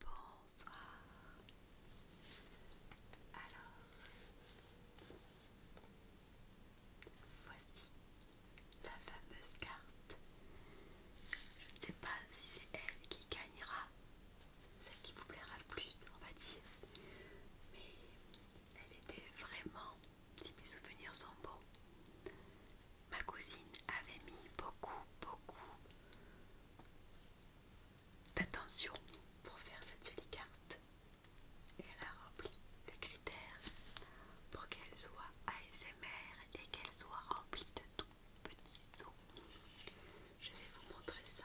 Bonsoir. Alors, voici la fameuse carte. Je ne sais pas si c'est elle qui gagnera, celle qui vous plaira le plus, on va dire. Mais elle était vraiment si mes souvenirs sont bons, ma cousine avait mis beaucoup, beaucoup d'attention pour faire cette jolie carte. Et elle a rempli le critère pour qu'elle soit ASMR et qu'elle soit remplie de tout petits os. Je vais vous montrer ça.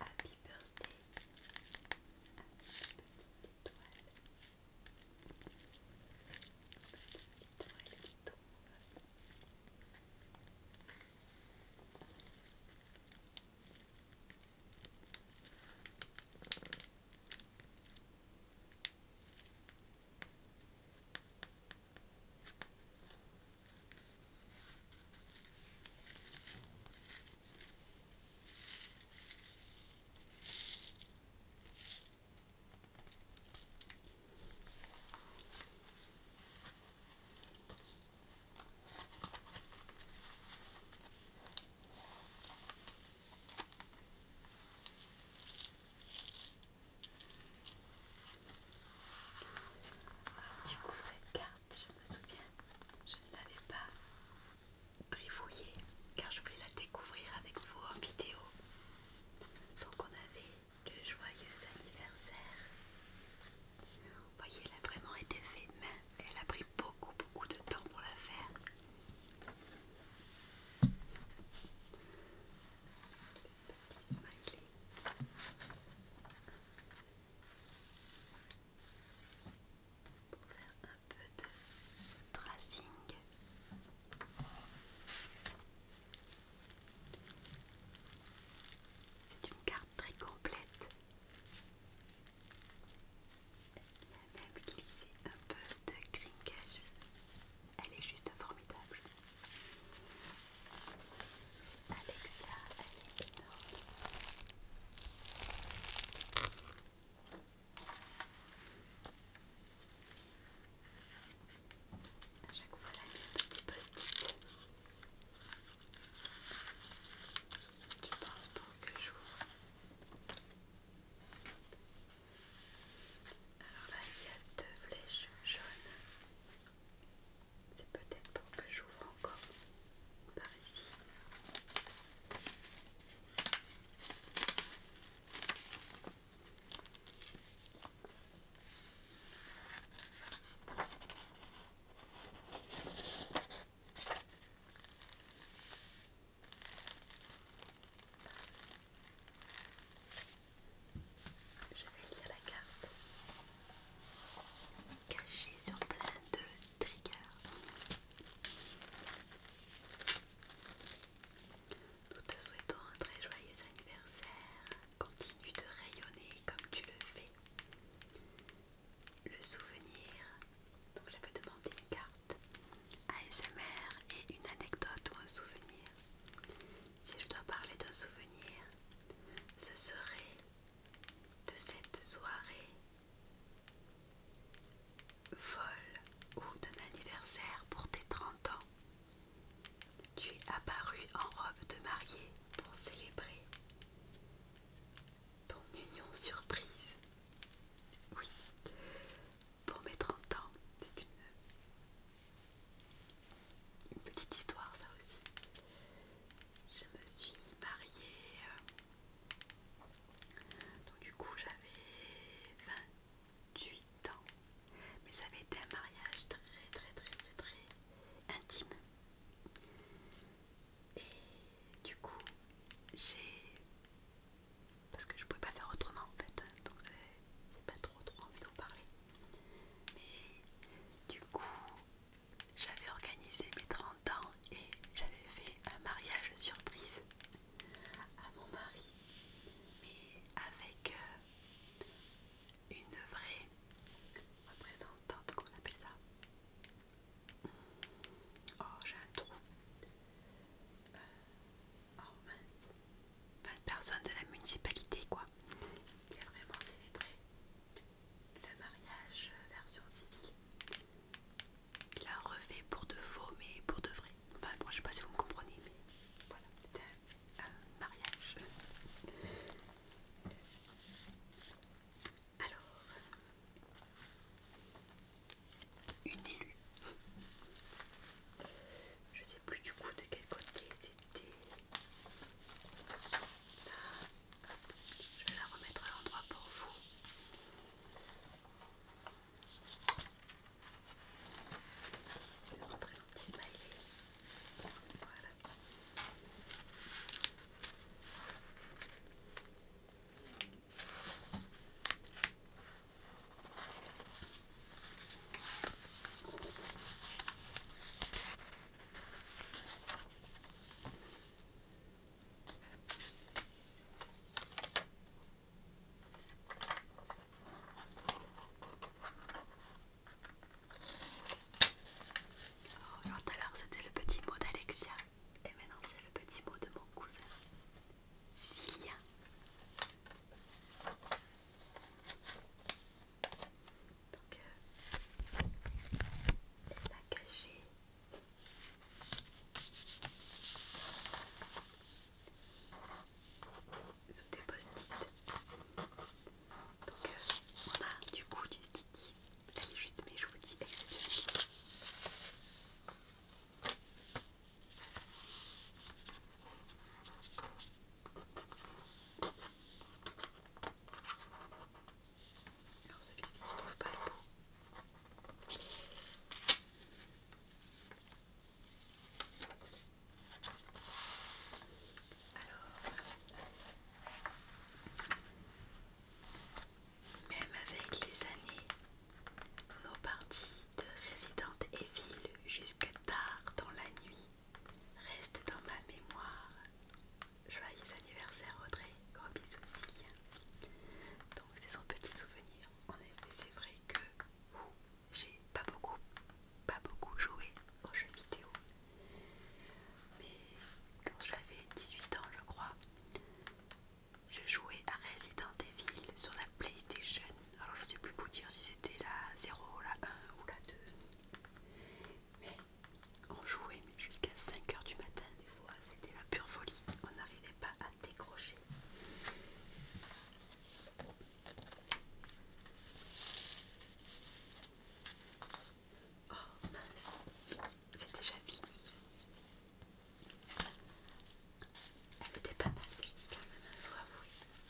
Happy birthday petite étoile. Petite étoile qui tombe du coup, cette carte je me souviens, je ne l'avais pas trifouillée car je voulais la découvrir avec vous en vidéo. Donc on avait le joyeux anniversaire. Vous voyez, elle a vraiment été faite main, elle a pris beaucoup beaucoup de temps pour la faire. Le pour faire un peu de tracing. C'est une carte très complète. elle a même un peu de crinkles. Elle est juste formidable. Alexa, Alexa. À chaque fois, un petit post-it. Tu pour que j'ouvre Alors là, il y a deux flèches jaunes. C'est peut-être pour que j'ouvre encore par ici. Je vais lire la carte. Cachée sur plein de triggers. Nous te souhaitons un très joyeux anniversaire. Continue de rayonner comme tu le fais. Le souvenir, donc je te demander une carte, ASMR et une anecdote ou un souvenir. Si je dois parler d'un souvenir, ce serait de cette soirée folle ou d'un anniversaire pour tes 30 ans. Tu es apparu en robe de mariée pour célébrer ton union surprise. Oui, pour mes 30 ans, c'est une une petite histoire ça aussi. Je me suis mariée, euh, donc du coup j'avais 28 ans, mais ça avait été un mariage très très très très très intime. Et du coup j'ai, parce que je pouvais pas faire autrement en fait, hein, donc j'ai pas trop trop envie d'en parler. Mais du coup, j'avais organisé mes 30 ans et j'avais fait un mariage surprise à mon mari, mais avec euh, une vraie représentante, comment on appelle ça Oh, j'ai un trou. Euh, oh personne de la municipalité, quoi. Il a vraiment célébré le mariage version civile. Il l'a refait pour de faux, mais pour de vrai. Enfin, bon, je sais pas si vous me comprenez, mais voilà, c'était un, un mariage. Alors, une élue. Je sais plus du coup de quel côté c'était je vais la remettre à l'endroit pour vous. Je vais rentrer mon petit smiley. Voilà. Oh, alors c'était le petit mot d'Alexia et maintenant c'est le petit mot de mon cousin Sylvia. Donc, elle euh, caché. Sous des post-it. Donc, euh, on a du coup du sticky. Elle est juste, mais je vous dis exceptionnelle. Alors celui-ci, je trouve pas le bon. Alors, même avec les années, nos parties de et Evil jusqu'à tard dans la nuit Reste dans ma mémoire. Joyeux anniversaire Audrey, gros bisou aussi. Donc c'est son petit souvenir. En effet, c'est vrai que j'ai pas beaucoup, pas beaucoup joué aux jeux vidéo. Mais quand j'avais 18 ans, je crois, je jouais à Resident Evil sur la PlayStation. Alors je sais plus vous dire si c'était la 0, la 1 ou la 2. Mais on jouait jusqu'à 5h du matin des fois, c'était la pure folie, on n'arrivait pas à décrocher. Oh mince, c'est déjà fini. Elle était pas mal celle-ci quand même, faut hein, avouer.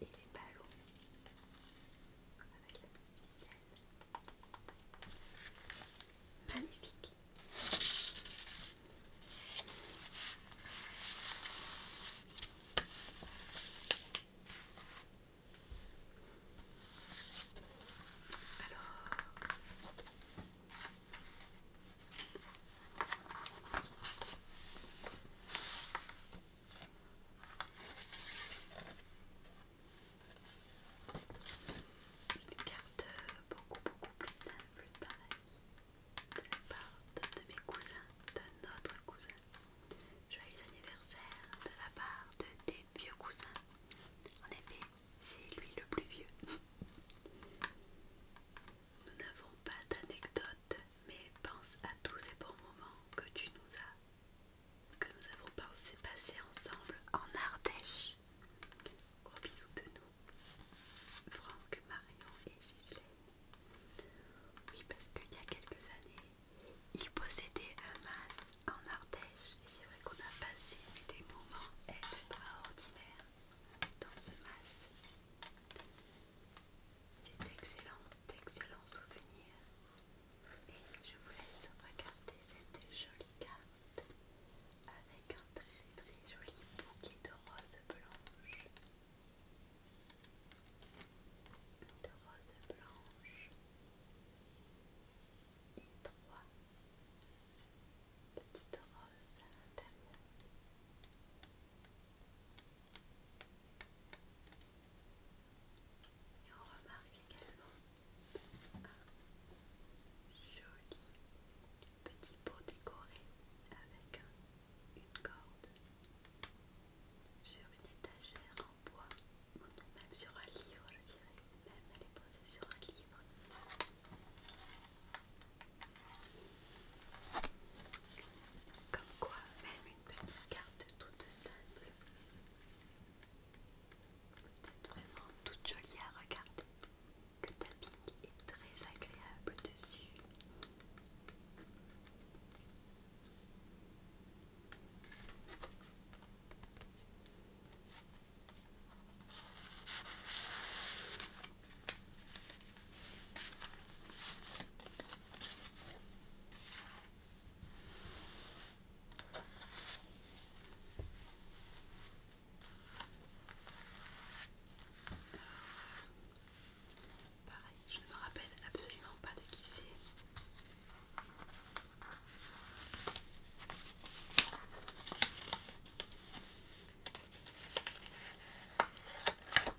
et les ballons avec la petite ficelle. Magnifique. Alors une carte beaucoup beaucoup plus simple pareille, de la part de, de mes cousins, de notre cousin. Joyeux anniversaire de la part de tes vieux cousins. En effet, c'est lui le plus vieux. Nous n'avons pas d'anecdotes, mais pense à tous ces bons moments que tu nous as que nous avons passé ensemble en Ardèche. Gros bisous de nous, Franck, Marion et Ghislaine. Oui, parce qu'il y a quelques années, ils possédaient un masque en Ardèche et c'est vrai qu'on a passé des moments extraordinaires dans ce masque. C'est d'excellents, d'excellents souvenirs. Et je vous laisse regarder cette jolie carte avec un très très joli bouquet de roses blanches. De roses blanches. Et trois petites roses à l'intérieur. Et on remarque également un joli petit pot décoré avec une corde sur une étagère en bois, ou même sur un livre, je dirais. Même elle est posée sur un livre. Comme quoi, même une petite carte toute simple vous êtes vraiment toute jolie à regarder. Le tapping est très agréable dessus je ne me rappelle absolument pas de qui c'est.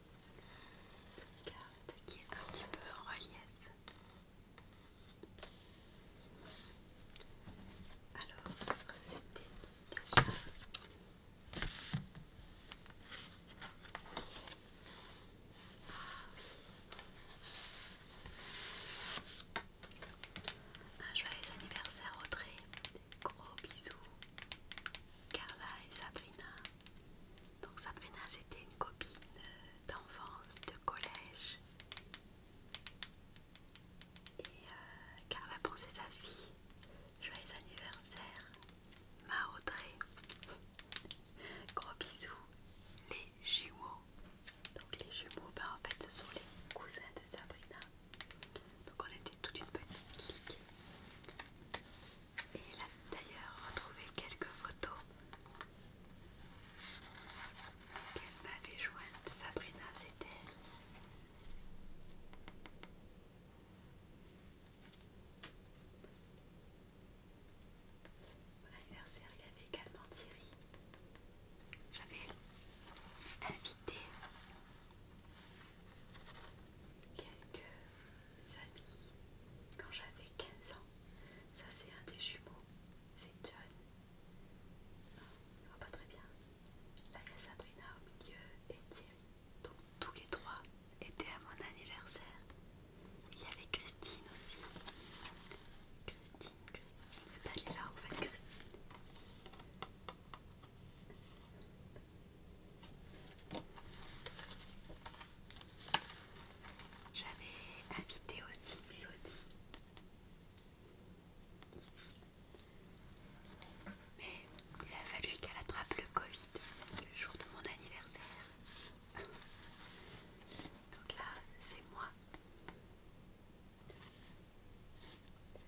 une carte qui est un petit peu en relief. Alors, c'était qui déjà ah oui. Un ah, joyeux anniversaire Audrey. Gros bisous. Carla et Sabrina. Donc Sabrina c'était une copine euh, d'enfance, de collège. Et euh, Carla pensait sa fille. Joyeux anniversaire, ma Audrey. Gros bisous, les jumeaux. Donc les jumeaux, ben, en fait ce sont les cousins de Sabrina. Donc on était toute une petite clique. Et elle a d'ailleurs retrouvé quelques photos qu'elle m'avait jointes. Sabrina, c'était Mon anniversaire, il y avait également Thierry. J'avais invité quelques amis quand j'avais 15 ans. Ça, c'est un des jumeaux, c'est John. Non, oh, il voit pas très bien. Là, il y a Sabrina au milieu et Thierry. Donc, tous les trois étaient à mon anniversaire. Il y avait Christine aussi. Christine, Christine, c'est pas là en fait, Christine. J'avais invité aussi Mélodie, mais il a fallu qu'elle attrape le Covid le jour de mon anniversaire. Donc là, c'est moi.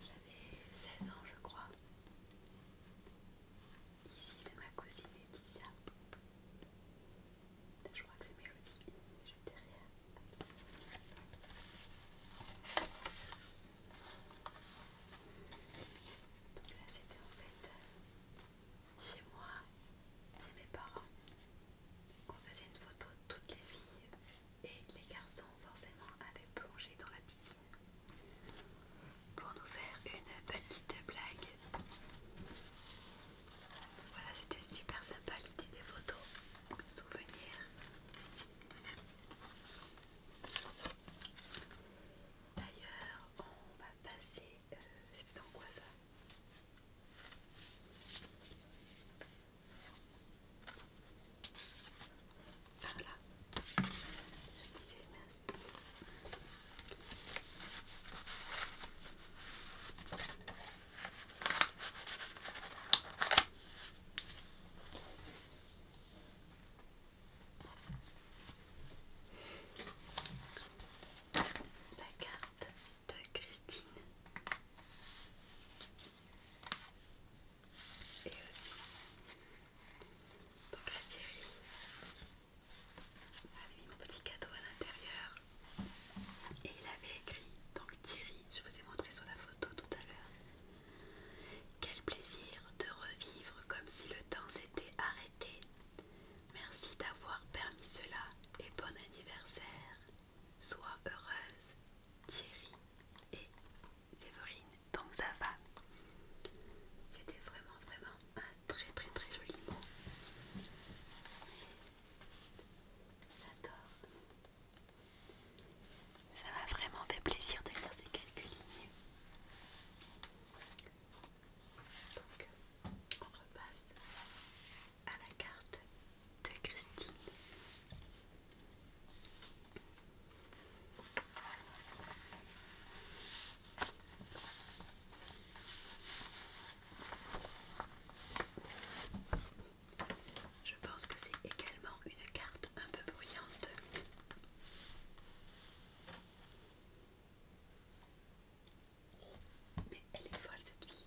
J'avais 16 ans, je crois. Ici, c'est ma cousine Laetitia. Je crois que c'est Mélodie. Je derrière. Euh, donc là, c'était en fait chez moi, chez mes parents. On faisait une photo de toutes les filles et les garçons, forcément, avaient plongé dans la piscine pour nous faire une petite blague. Voilà, c'était super sympa l'idée des photos, souvenirs. D'ailleurs, on va passer. Euh, c'était dans quoi ça voilà. là. Je me disais, mince. La carte de Christine et aussi donc la Thierry, avait mis mon petit cadeau à l'intérieur et il avait écrit, donc Thierry, je vous ai montré sur la photo tout à l'heure, quel plaisir de revivre comme si le temps s'était arrêté. Merci d'avoir permis cela et bon anniversaire. Sois heureuse, Thierry et donc ça va. C'était vraiment, vraiment un très, très, très joli mot. J'adore. Ça m'a vraiment fait plaisir de lire ces quelques lignes. Donc, on repasse à la carte de Christine. Je pense que c'est également une carte un peu bruyante. Oh, mais elle est folle cette fille.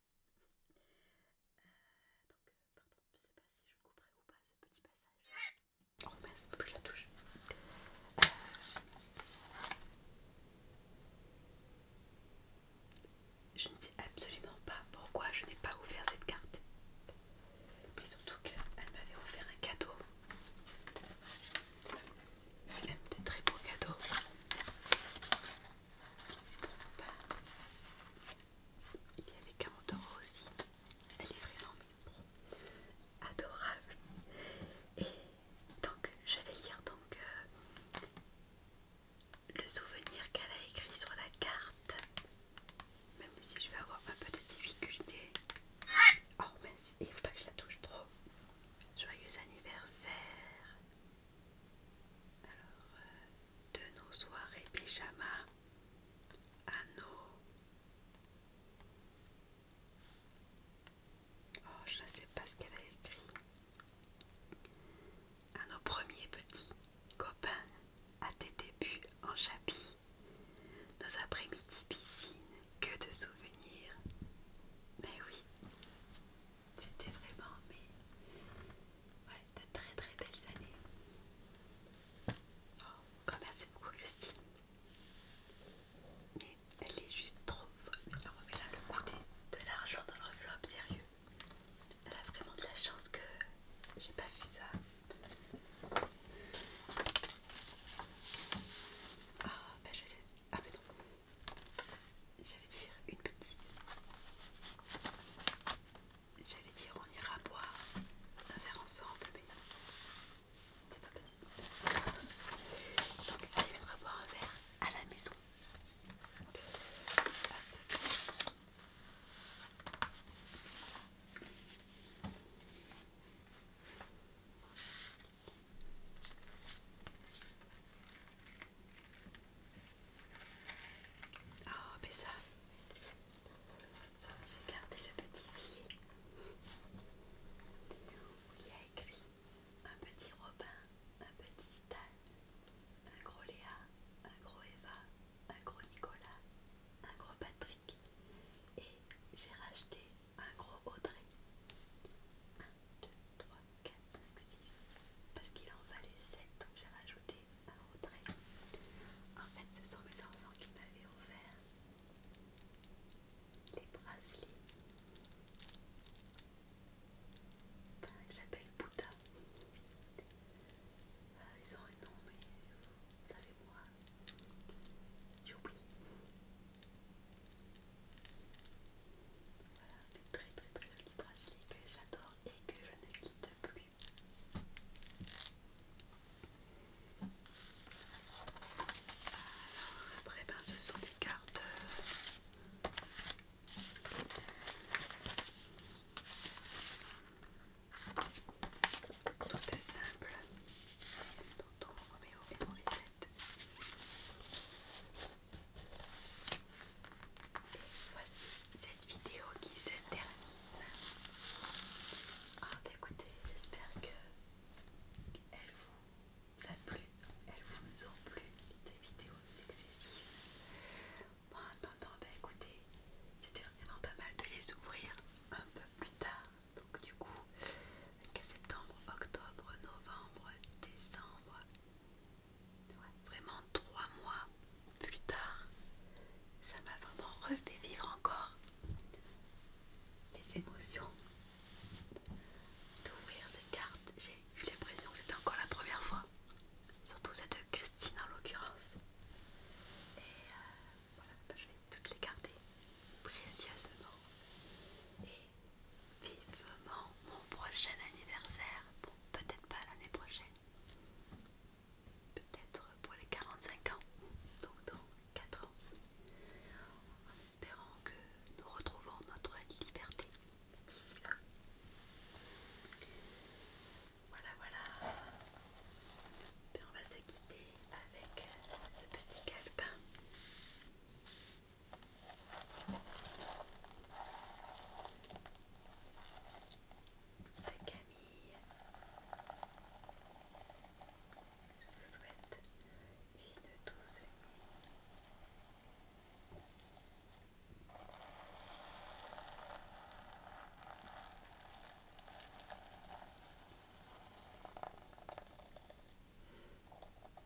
euh, donc, euh, pardon, je sais pas si je couperai ou pas ce petit passage. Oh mince, faut que je la touche. Euh, je ne sais absolument pas pourquoi je n'ai pas ouvert cette carte. Mais surtout qu'elle m'avait offert un cadeau. Même de très beaux cadeaux. Il y avait 40 euros aussi. Elle est vraiment adorable. Et donc, je vais lire donc euh, le souvenir qu'elle a écrit sur la carte. Même si je vais avoir un peu de difficulté. Oh merci, il faut pas que je la touche trop. Joyeux anniversaire. Alors, euh, de nos soirées pyjama à nos... Oh, je ne sais pas ce qu'elle a écrit. À nos premiers petits copains, à tes débuts en chapis, nos après-midi piscine, que de souvenirs. Mais oui, c'était vraiment mais ouais, de très très belles années. Oh, merci beaucoup Christine. Mais elle est juste trop folle. Elle a là le goût de l'argent dans l'enveloppe, sérieux. Elle a vraiment de la chance que j'ai pas vu ça. Ah, ben je sais. Ah, mais non. J'allais dire une petite. J'allais dire on ira boire un verre ensemble, mais c'est pas possible. Donc elle viendra boire un verre à la maison. Oh, mais ça, j'ai gardé le petit billet où il y a écrit un petit Robin, un petit Stan, un gros Léa, un gros Eva, un gros Nicolas, un gros Patrick et j'ai racheté un gros Audrey. 3, 4, 5, 6 parce qu'il en valait 7 donc j'ai rajouté un autre en fait ce sont mes enfants qui m'avaient offert les bracelets j'appelle Bouddha euh, ils ont un nom mais vous savez moi j'ai oublié voilà, des très très très jolis bracelets que j'adore et que je ne quitte plus. Alors après ben, ce sont des cartes euh, toutes simples. Tonton Roméo et reset Voici cette vidéo qui se termine. Ah, bah écoutez, j'espère que vous a plu, elles vous ont plu des vidéos successives. Bon, en attendant, bah écoutez, c'était vraiment pas mal de les ouvrir un peu plus tard. Donc du coup, qu'à septembre, octobre, novembre, décembre, Vraiment trois mois plus tard, ça m'a vraiment refait vivre encore les émotions d'ouvrir ces cartes. J'ai eu l'impression que c'était encore la première fois, surtout cette Christine en l'occurrence. Et euh, voilà, je vais toutes les garder précieusement vivement mon prochain anniversaire. Bon, peut-être pas l'année prochaine. Peut-être pour les 45 ans. Donc dans 4 ans. En espérant que nous retrouvons notre liberté d'ici là. Voilà, voilà. on va se quitter avec ce petit calepin de bah, Camille. Je vous souhaite une douce nuit.